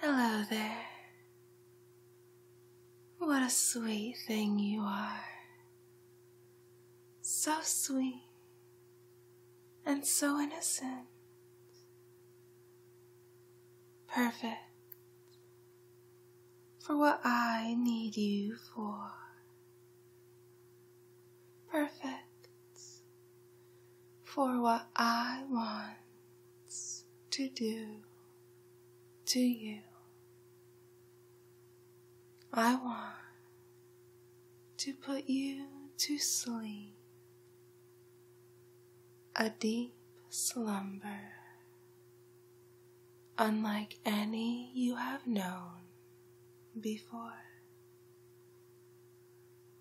Hello there. What a sweet thing you are. So sweet and so innocent. Perfect for what I need you for. Perfect for what I want to do to you. I want to put you to sleep, a deep slumber unlike any you have known before.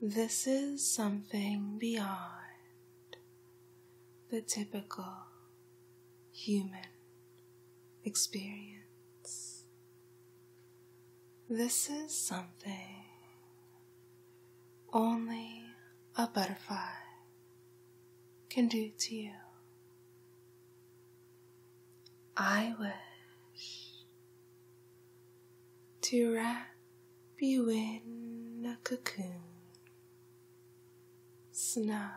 This is something beyond the typical human experience. This is something only a butterfly can do to you. I wish to wrap you in a cocoon, snug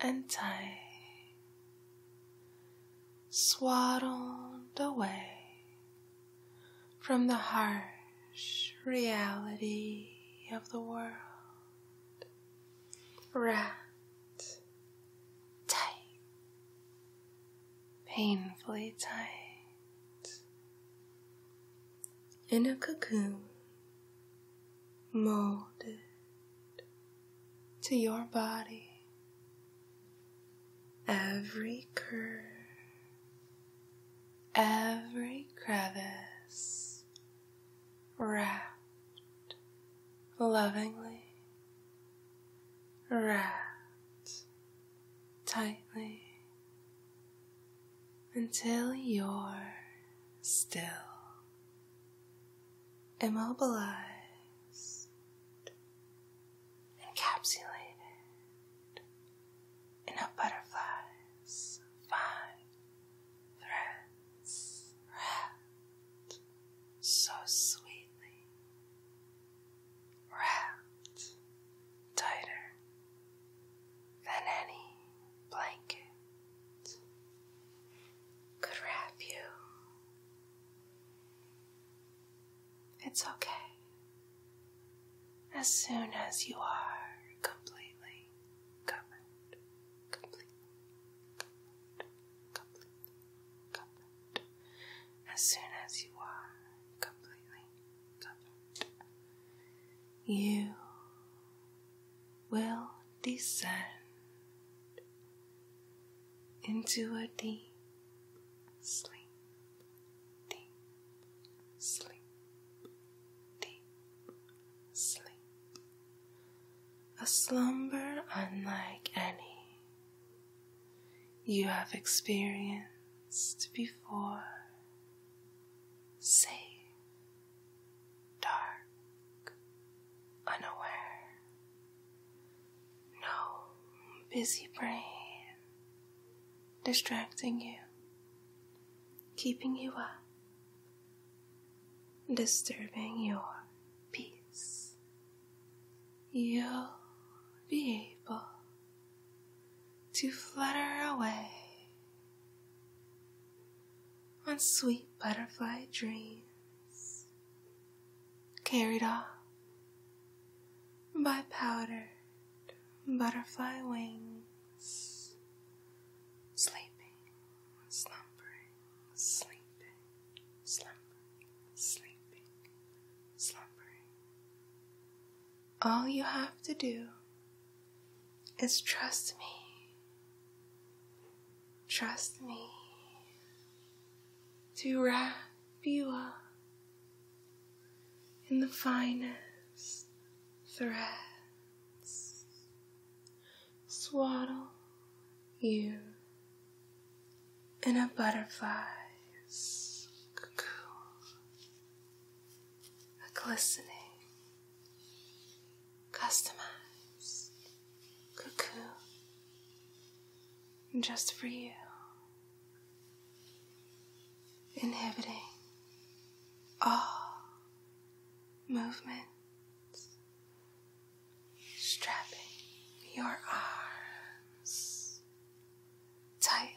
and tight, swaddled away from the harsh reality of the world, wrapped tight painfully tight in a cocoon molded to your body. Every curve, every crevice wrapped lovingly, wrapped tightly until you're still, immobilized, encapsulated in a butterfly's fine threads wrapped so sweetly wrapped tighter than any blanket could wrap you. It's okay. As soon as you are completely covered, completely, completely, completely, completely, as soon as you are completely covered, you will descend into a deep sleep, deep sleep, deep sleep. A slumber unlike any you have experienced before. Safe, dark, unaware, no busy brain distracting you, keeping you up, disturbing your peace you'll be able to flutter away on sweet butterfly dreams carried off by powdered butterfly wings, sleeping, slumbering, sleeping, slumbering, sleeping, slumbering, all you have to do is trust me. Trust me to wrap you up in the finest threads, swaddle you in a butterfly's cocoon, a glistening, customized cocoon just for you, inhibiting all movements, Strapping your arms tightly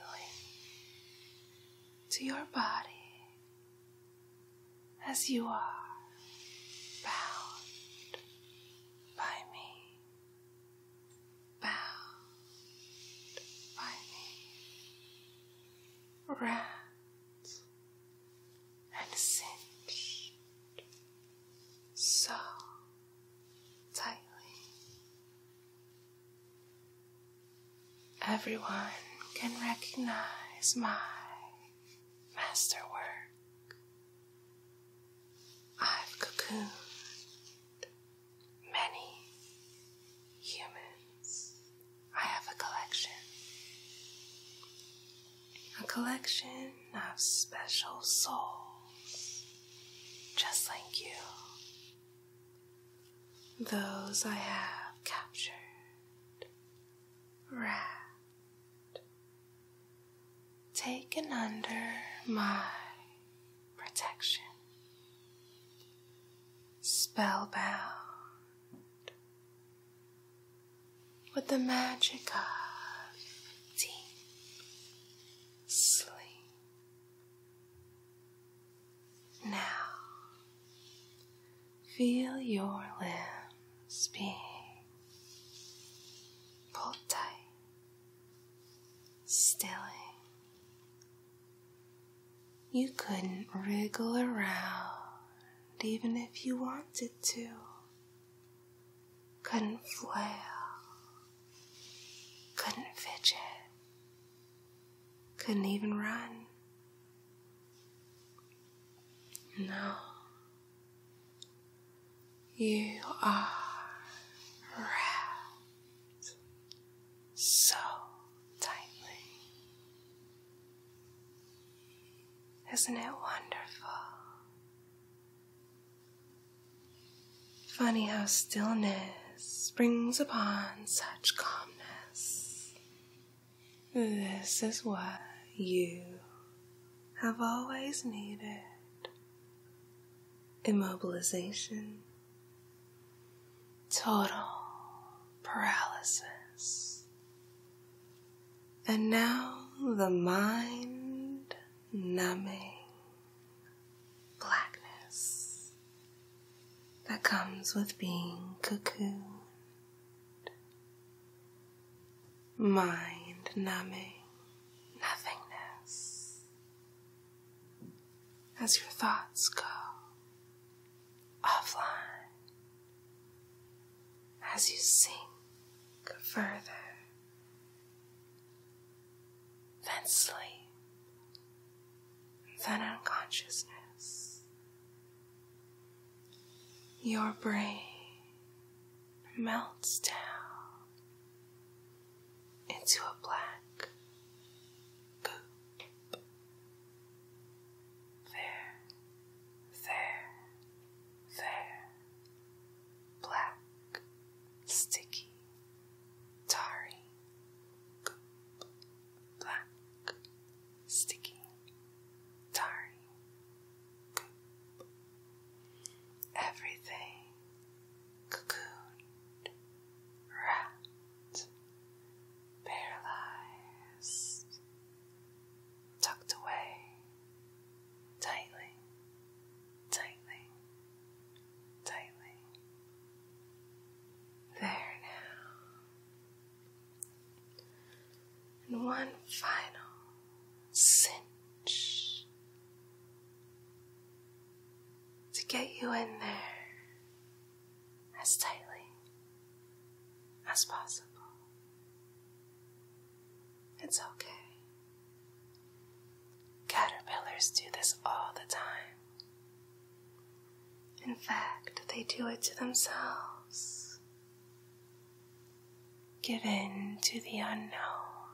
to your body as you are bound by me, bound by me, wrapped and cinched so tightly. Everyone can recognize my masterwork. I've cocooned many humans. I have a collection. A collection of special souls just like you. Those I have captured, wrapped, taken under my protection, spellbound with the magic of deep sleep. Now, feel your limbs being pulled tight, stilling. You couldn't wriggle around even if you wanted to couldn't flail, couldn't fidget, couldn't even run. No, you are wrapped so tightly. Isn't it wonderful? Funny how stillness brings upon such calmness. This is what you have always needed immobilization, total paralysis. And now the mind numbing blackness that comes with being cocooned. Mind numbing nothingness as your thoughts go offline, as you sink further then sleep, then unconsciousness. Your brain melts down into a black goop. There, there, there, black, sticky, tarry, goop, black, sticky, tarry, goop. Everything cocooned, wrapped, paralyzed, tucked away tightly, tightly, tightly. There now. And one final cinch to get you in there as tightly as possible. It's okay. Caterpillars do this all the time. In fact, they do it to themselves. Give in to the unknown.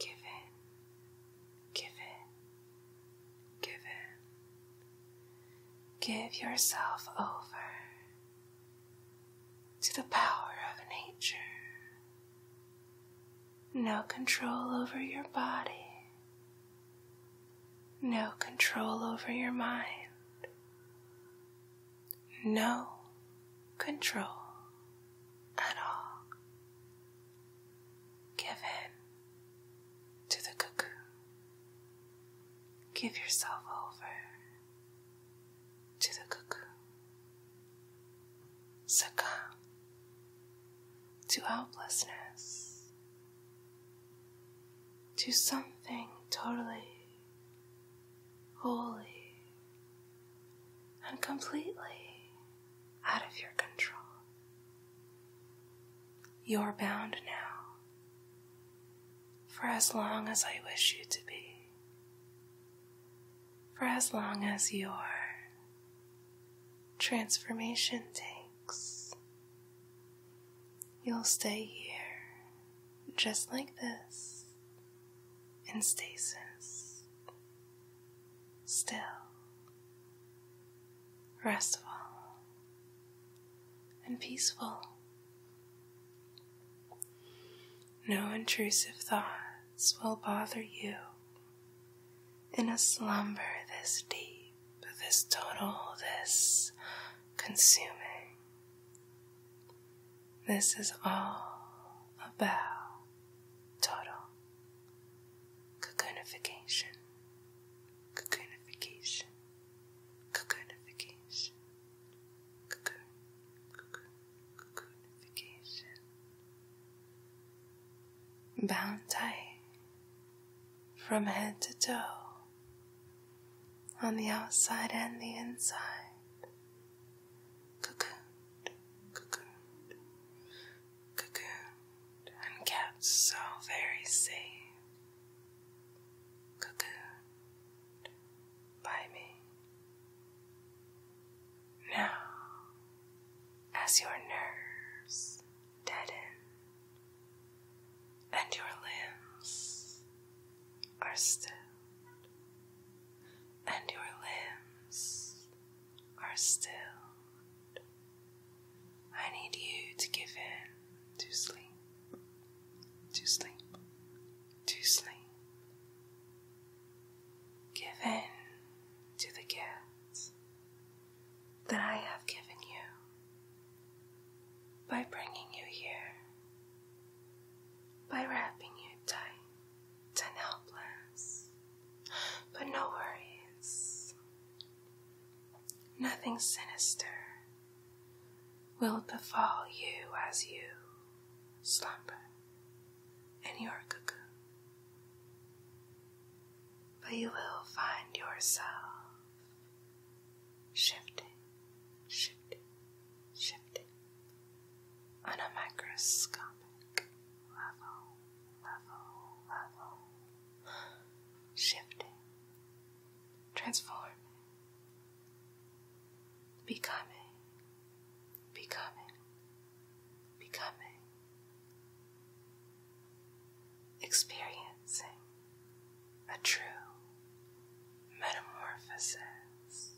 Give in, give in, give in. Give yourself over to the power of nature. No control over your body. No control over your mind. No control at all. Give in to the cocoon. Give yourself over to the cuckoo. Succumb to helplessness, to something totally, wholly, and completely out of your control. You're bound now for as long as I wish you to be for as long as your transformation takes. You'll stay here just like this in stasis, still, restful, and peaceful. No intrusive thoughts will bother you in a slumber this deep, this total, this consuming. This is all about total cocoonification, cocoonification, cocoonification, cocoon, cocoon, cocoonification. Bound tight from head to toe, on the outside and the inside. Cocooned, cocooned, cocooned, and kept so very safe. Cocooned, by me. Now, as your nerves deaden and your limbs are still, and your limbs are still, I need you to give in to sleep, to sleep, to sleep, Given to the gifts that I have given you by bringing you here, by wrapping you tight and helpless. But no worries, nothing sinister will befall you as you slumber and your cuckoo, But you will find yourself shifting, shifting, shifting on a microscopic level, level, level, shifting, transforming, becoming, becoming, becoming, experiencing a true metamorphosis.